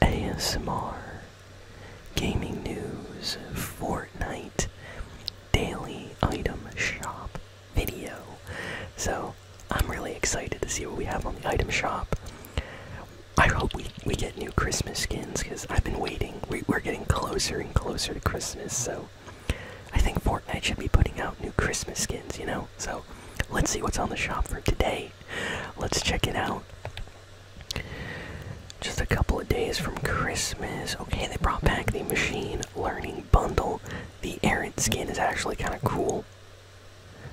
ASMR, gaming news, Fortnite, daily item shop video. So I'm really excited to see what we have on the item shop. I hope we, we get new Christmas skins because I've been waiting. We, we're getting closer and closer to Christmas, so I think Fortnite should be putting out new Christmas skins, you know? So let's see what's on the shop for today. Let's check it out. Just a couple of days from Christmas. Okay, they brought back the machine learning bundle. The errant skin is actually kind of cool.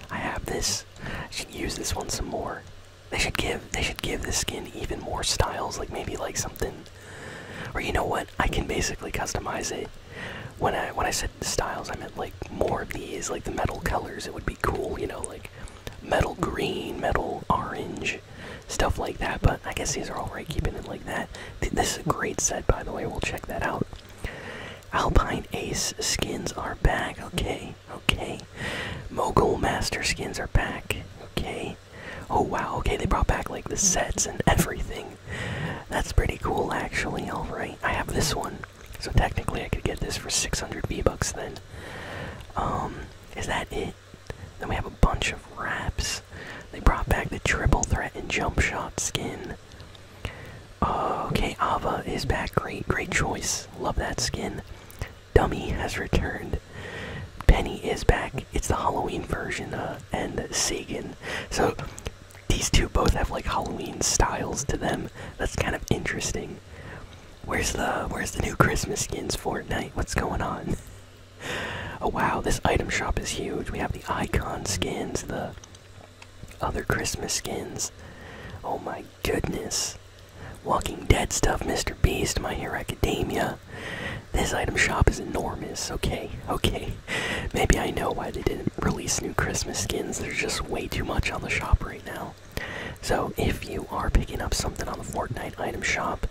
I have this. I should use this one some more. They should give they should give this skin even more styles, like maybe like something or you know what? I can basically customize it when I when I said styles, I meant like more of these, like the metal colors. It would be cool, you know, like metal green, metal orange, stuff like that. But I guess these are all right keeping it like that. This is a great set, by the way. We'll check that out. Alpine Ace skins are back. Okay, okay. Mogul Master skins are back. Okay. Oh wow, okay, they brought back like the sets and everything. That's pretty cool actually, alright. I have this one. So technically, I could get this for 600 V-Bucks then. Um, is that it? Then we have a bunch of wraps. They brought back the triple threat and jump shot skin. Uh, okay, Ava is back. Great, great choice. Love that skin. Dummy has returned. Penny is back. It's the Halloween version, uh, and Sagan. So, these two both have like Halloween styles to them. That's kind of interesting. Where's the where's the new Christmas skins Fortnite? What's going on? Oh wow, this item shop is huge. We have the icon skins, the other Christmas skins. Oh my goodness. Walking Dead stuff, Mr. Beast, My Hero Academia. This item shop is enormous. Okay, okay. Maybe I know why they didn't release new Christmas skins. There's just way too much on the shop right now. So if you are picking up something on the Fortnite item shop,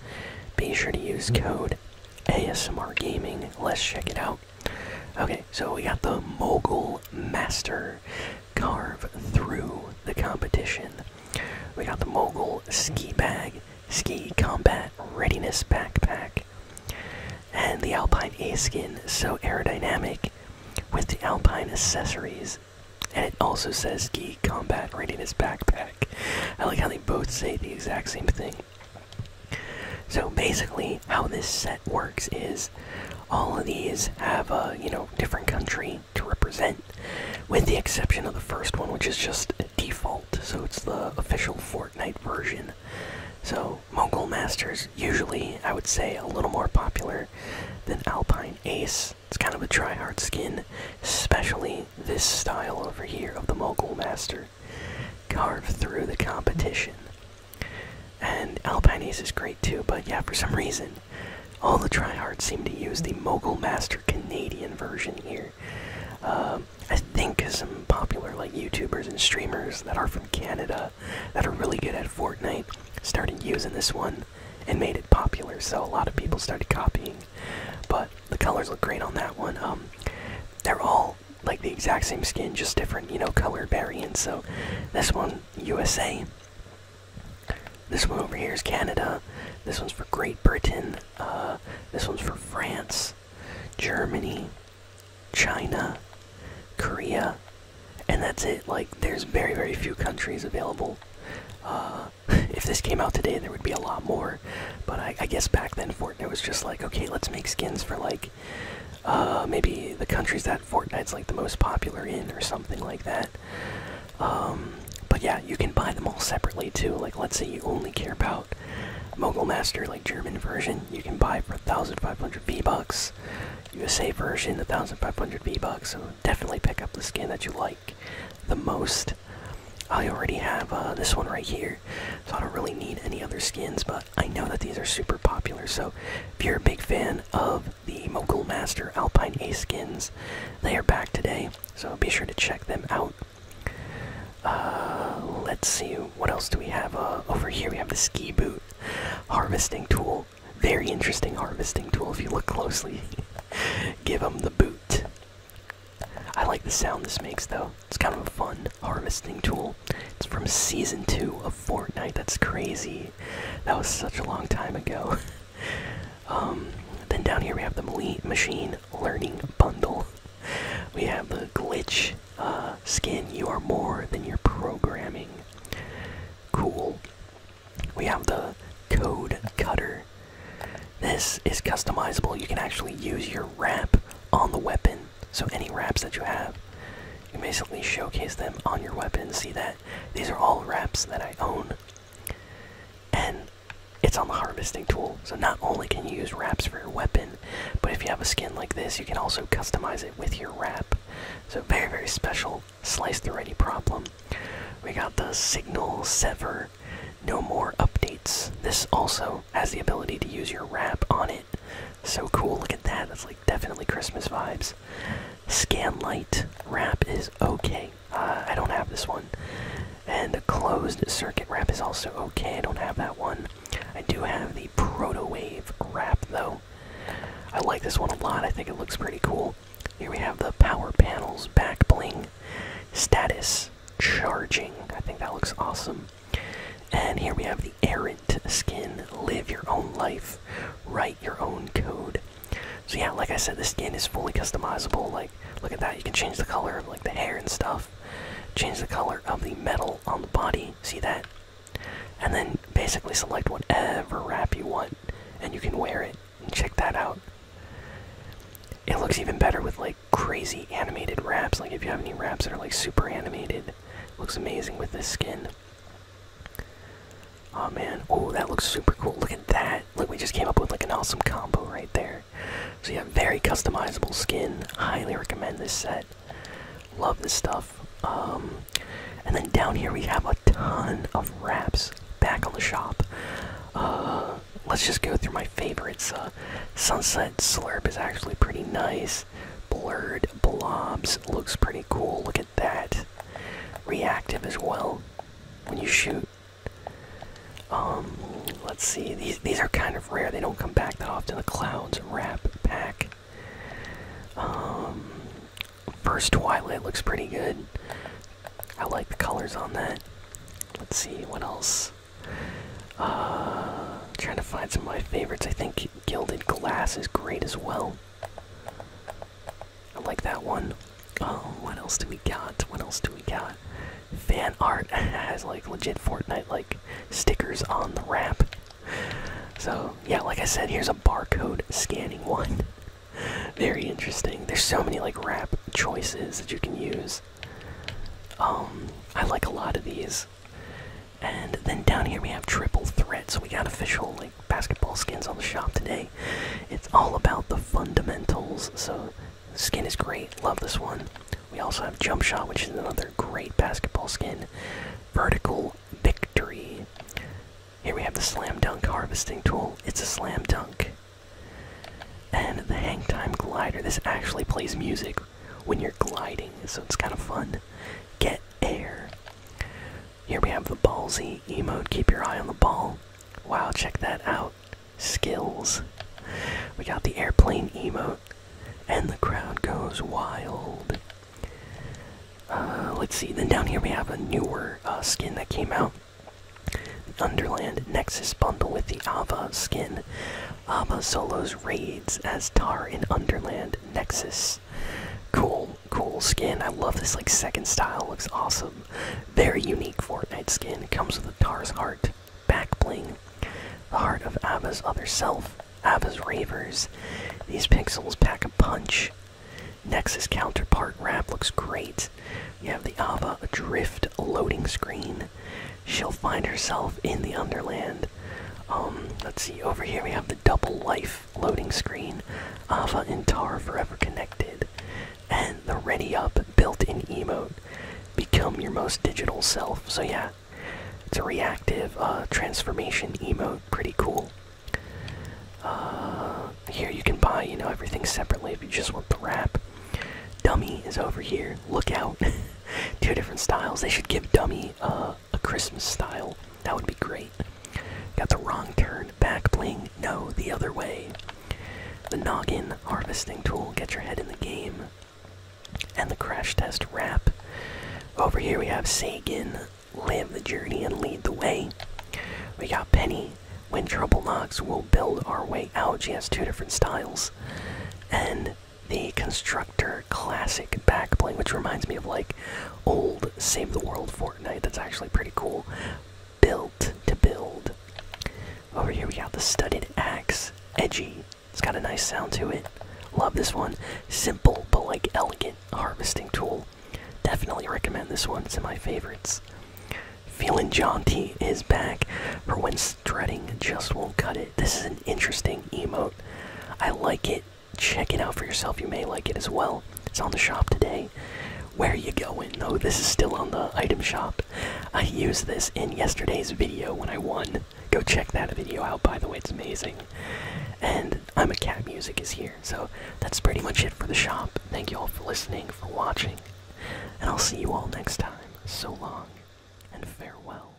be sure to use mm-hmm. code ASMR Gaming. Let's check it out. Okay, so we got the Mogul Master carve through the competition. We got the Mogul Ski Bag, Ski Combat Readiness Backpack and the Alpine A skin so aerodynamic with the Alpine accessories. And it also says Ski Combat right in his backpack. I like how they both say the exact same thing. So basically, how this set works is all of these have a you know different country to represent, with the exception of the first one, which is just default. So it's the official Fortnite version. So, Mogul Masters, usually I would say a little more popular than Alpine Ace. It's kind of a try hard skin, especially this style over here of the Mogul Master. Carve through the competition. And Alpine Ace is great too, but yeah, for some reason, all the tryhards seem to use the Mogul Master Canadian version here. Uh, um, I think some popular like YouTubers and streamers that are from Canada that are really good at Fortnite started using this one and made it popular. So a lot of people started copying. But the colors look great on that one. Um, they're all like the exact same skin, just different, you know, color variants. So this one, USA. This one over here is Canada. This one's for Great Britain. Uh, this one's for France. Germany, China, Korea, and that's it. Like, there's very, very few countries available. Uh, if this came out today, there would be a lot more. But I, guess back then, Fortnite was just like, okay, let's make skins for like uh, maybe the countries that Fortnite's like the most popular in, or something like that. Um, but yeah, you can buy them all separately too. Like, let's say you only care about Mogul Master, like German version, you can buy for 1,500 V-Bucks. USA version, 1,500 V-Bucks. So definitely pick up the skin that you like the most. I already have uh, this one right here, so I don't really need any other skins, but I know that these are super popular, so if you're a big fan of the Mogul Master Alpine A skins, they are back today, so be sure to check them out. Uh, let's see, what else do we have? Uh, over here we have the ski boot harvesting tool. Very interesting harvesting tool if you look closely. Give them the boot. I like the sound this makes though. It's kind of a fun harvesting tool. It's from season 2 of Fortnite. That's crazy. That was such a long time ago. Um, then down here we have the machine. Learning Bundle. We have the glitch uh, skin, you are more than your programming. Cool. We have the code cutter. This is customizable. You can actually use your wrap on the weapon. So any wraps that you have, you basically showcase them on your weapon. See that? These are all wraps that I own. And it's on the harvesting tool, so not only can you use wraps for your weapon, but if you have a skin like this, you can also customize it with your wrap. So very, very special slice the ready problem. We got the signal sever, no more updates. This also has the ability to use your wrap on it. So cool, look at that. That's like definitely Christmas vibes. Scan light wrap is okay uh, I don't have this one. And the closed circuit wrap is also okay. I don't have that one. I do have the proto wave wrap though. I like this one a lot. I think it looks pretty cool. Here we have the power panels back bling status charging. I think that looks awesome. And here we have the errant skin. Live your own life. Write your own code. So yeah, like I said, this skin is fully customizable. Like, look at that. You can change the color of like the hair and stuff. Change the color of the metal on the body. See that? And then basically select whatever wrap you want, and you can wear it. And check that out. It looks even better with like crazy animated wraps. Like if you have any wraps that are like super animated, looks amazing with this skin. Oh man! Oh, that looks super cool. Look at that. Look, we just came up with like an awesome combo right there. So yeah, very customizable skin. Highly recommend this set. Love this stuff. Um, and then down here we have a ton of wraps back on the shop. Uh, let's just go through my favorites. Uh, Sunset Slurp is actually pretty nice. Blurred Blobs looks pretty cool. Look at that. Reactive as well. When you shoot, um, let's see. These these are kind of rare. They don't come back that often. The clouds wrap pack. Um, first twilight looks pretty good. I like the colors on that. Let's see what else. Uh, trying to find some of my favorites. I think gilded glass is great as well. I like that one. Oh, what else do we got? What else do we got? Fan art has like legit Fortnite like stickers on the wrap. So yeah, like I said, here's a barcode scanning one. Very interesting. There's so many like wrap choices that you can use. Um, I like a lot of these. And then down here we have triple threat, so we got official basketball skins on the shop today. It's all about the fundamentals, so skin is great. Love this one. We also have Jump Shot, which is another great basketball skin. Vertical Victory. Here we have the Slam Dunk Harvesting Tool. It's a slam dunk. And the Hang Time Glider. This actually plays music when you're gliding, so it's kind of fun. Get Air. Here we have the ballsy emote. Keep your eye on the ball. Wow, check that out. Skills. We got the airplane emote, and the crowd goes wild. Uh, let's see. Then down here we have a newer uh, skin that came out. the Underland Nexus bundle with the Ava skin. Ava solos raids as Tar in Underland Nexus cool, cool skin. I love this like second style. Looks awesome. Very unique Fortnite skin. Comes with a Tars heart, back bling, the heart of Ava's other self, Ava's ravers. These pixels pack a punch. Nexus counterpart wrap looks great. You have the Ava adrift loading screen. She'll find herself in the underland. Um, let's see. Over here we have the double life loading screen. Ava and Tar forever connected. And the ready up built-in emote. Become your most digital self. So yeah, it's a reactive uh, transformation emote. Pretty cool. Uh, here you can buy, you know, everything separately if you just want the wrap. Dummy is over here. Look out. Two different styles. They should give Dummy uh, a Christmas style. That would be great. Got the wrong turn, back bling, no, the other way. The noggin harvesting tool, get your head in the game. And the crash test wrap. Over here we have Sagan, live the journey and lead the way. We got Penny, when trouble knocks, we'll build our way out. She has two different styles. And the construct classic back bling, which reminds me of like old Save the World Fortnite. That's actually pretty cool. Built to build. Over here we got the studded axe. Edgy. It's got a nice sound to it. Love this one. Simple but like elegant harvesting tool. Definitely recommend this one. It's in my favorites. Feeling jaunty is back for when strutting just won't cut it. This is an interesting emote. I like it check it out for yourself. You may like it as well. It's on the shop today. Where are you going? No, oh, this is still on the item shop. I used this in yesterday's video when I won. Go check that video out, by the way, it's amazing. And I'm a cat music is here. So that's pretty much it for the shop. Thank you all for listening, for watching, and I'll see you all next time. So long and farewell.